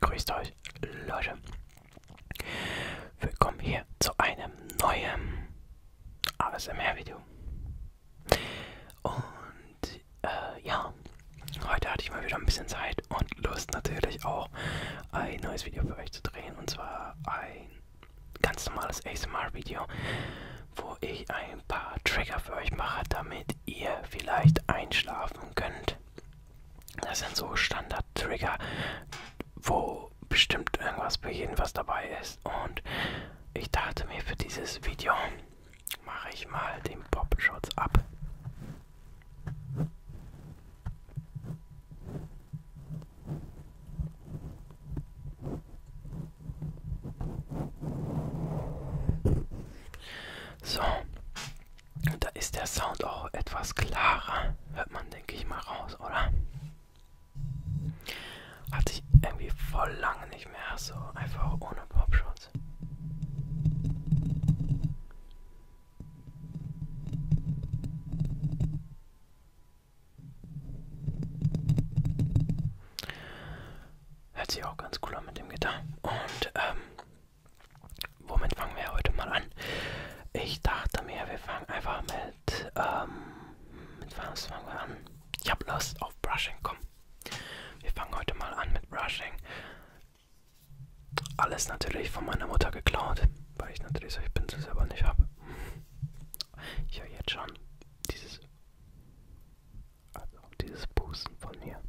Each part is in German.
Grüßt euch, Leute. Willkommen hier zu einem neuen ASMR-Video. Und äh, ja, heute hatte ich mal wieder ein bisschen Zeit und Lust natürlich auch ein neues Video für euch zu drehen. Und zwar ein ganz normales ASMR-Video, wo ich ein paar Trigger für euch mache, damit damit ihr vielleicht einschlafen könnt. Das sind so Standard-Trigger, wo bestimmt irgendwas bei jedem was dabei ist. Und ich dachte mir für dieses Video mache ich mal den Pop-Shots ab. So, da ist der Sound auch etwas klarer. Hört man, denke ich mal, raus, oder? Hatte ich irgendwie voll lange nicht mehr so einfach ohne Popschutz. Hört sich auch ganz cool an mit dem Gitarre. Und ähm, Womit fangen wir heute mal an? Ich dachte mir, wir fangen einfach mit, ähm, mit was fangen wir an? Ich habe Lust auf Brushing, komm. Wir fangen heute mal an mit Brushing. Alles natürlich von meiner Mutter geklaut, weil ich natürlich solche Pinsel selber nicht habe. Ich höre jetzt schon dieses also dieses Pusten von mir.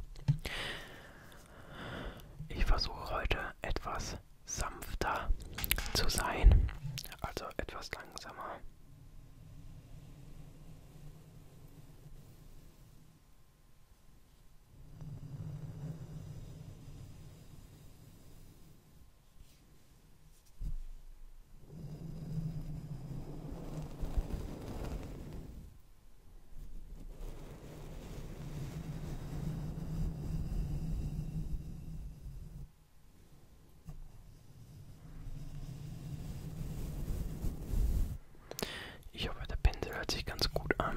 Ich versuche heute etwas sanfter zu sein, also etwas langsamer. Ich hoffe, der Pinsel hört sich ganz gut an.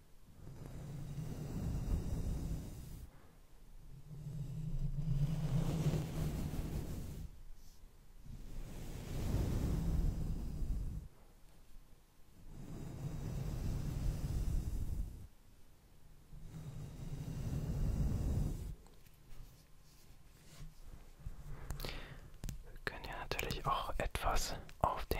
Wir können ja natürlich auch etwas auf den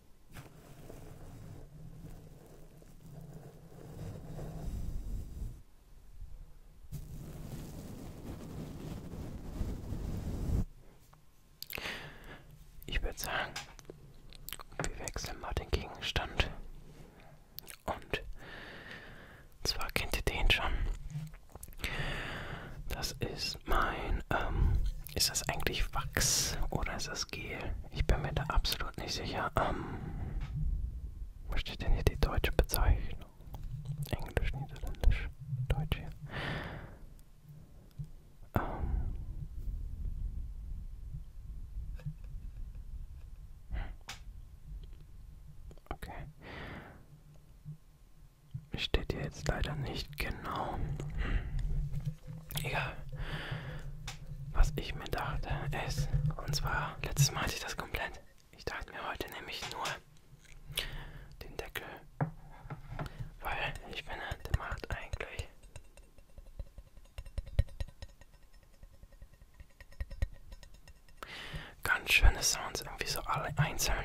Ich würde sagen, wir wechseln mal den Gegenstand. Und zwar kennt ihr den schon. Das ist ist mein, ähm, ist das eigentlich Wachs oder ist das Gel? Ich bin mir da absolut nicht sicher. Ähm, wo steht denn hier die deutsche Bezeichnung? Englisch, Niederländisch, Deutsch hier. Ähm, Okay. Steht hier jetzt leider nicht genau. Egal. Was ich mir dachte ist, und zwar letztes Mal hatte ich das komplett. Ich dachte mir heute nämlich nur den Deckel, weil ich bin der macht eigentlich. Ganz schöne Sounds, irgendwie so alle einzeln.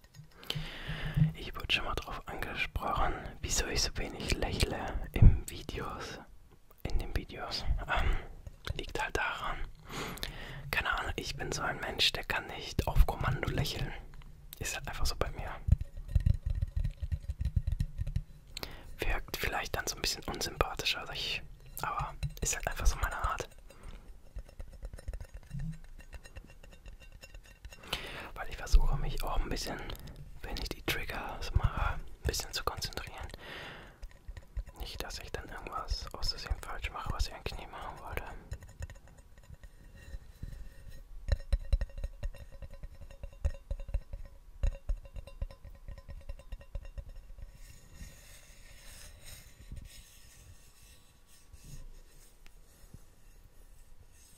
Ich wurde schon mal darauf angesprochen, wieso ich so wenig lächle im Videos. In den Videos. Ähm, liegt halt daran. Keine Ahnung, ich bin so ein Mensch, der kann nicht auf Kommando lächeln. Ist halt einfach so bei mir. Wirkt vielleicht dann so ein bisschen unsympathischer, als ich, aber ist halt einfach so meine Art. Weil ich versuche mich auch ein bisschen, wenn ich die Triggers mache, ein bisschen zu konzentrieren. Nicht, dass ich dann irgendwas aus Versehen falsch mache, was ich eigentlich nie machen wollte.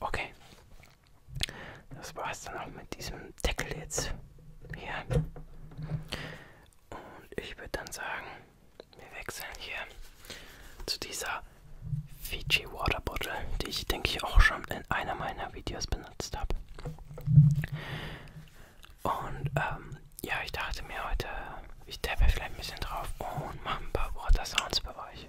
Okay. Das war's dann auch mit diesem Deckel jetzt. Hier. Und ich würde dann sagen, wir wechseln hier zu dieser Fiji Water Bottle, die ich denke ich auch schon in einer meiner Videos benutzt habe. Und ähm, ja, ich dachte mir heute, ich tappe vielleicht ein bisschen drauf und mache ein paar Water Sounds bei euch.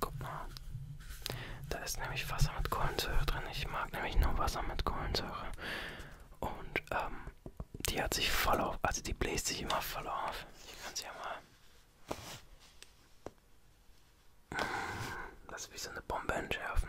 Guck mal, da ist nämlich Wasser mit Kohlensäure drin. Ich mag nämlich nur Wasser mit Kohlensäure. Und ähm, die hat sich voll auf, also die bläst sich immer voll auf. Ich kann sie ja mal. Das ist wie so eine Bombe entschärfen.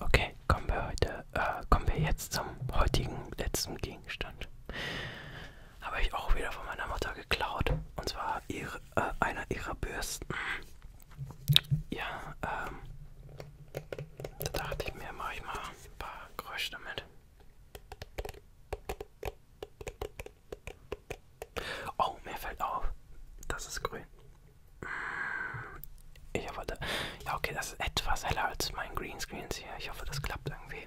Okay, kommen wir heute, äh, kommen wir jetzt zum heutigen letzten Gegenstand. Habe ich auch wieder von meiner Mutter geklaut. Und zwar ihre, äh, einer ihrer Bürsten. Ja, ähm, da dachte ich mir, mache ich mal ein paar Geräusche damit. Oh, mir fällt auf, das ist grün. Ich hoffe, da, ja okay, das ist etwas heller als mein Greenscreens hier. Ich hoffe, das klappt irgendwie.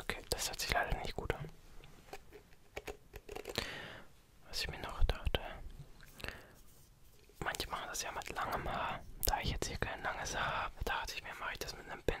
Okay, das hat sich leider nicht gut an. Was ich mir noch dachte. Manche machen das ja mit langem Haar. Da ich jetzt hier kein langes Haar habe, dachte ich mir, mache ich das mit einem Pinsel.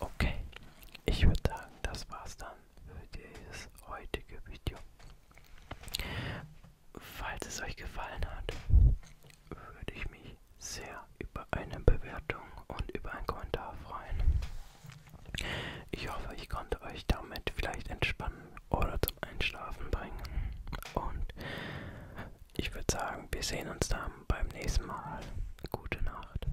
Okay, ich würde sagen, das war's dann für dieses heutige Video. Falls es euch gefallen hat, würde ich mich sehr über eine Bewertung und über einen Kommentar freuen. Ich hoffe, ich konnte euch damit vielleicht entspannen oder zum Einschlafen bringen. Und ich würde sagen, wir sehen uns dann beim nächsten Mal. Gute Nacht.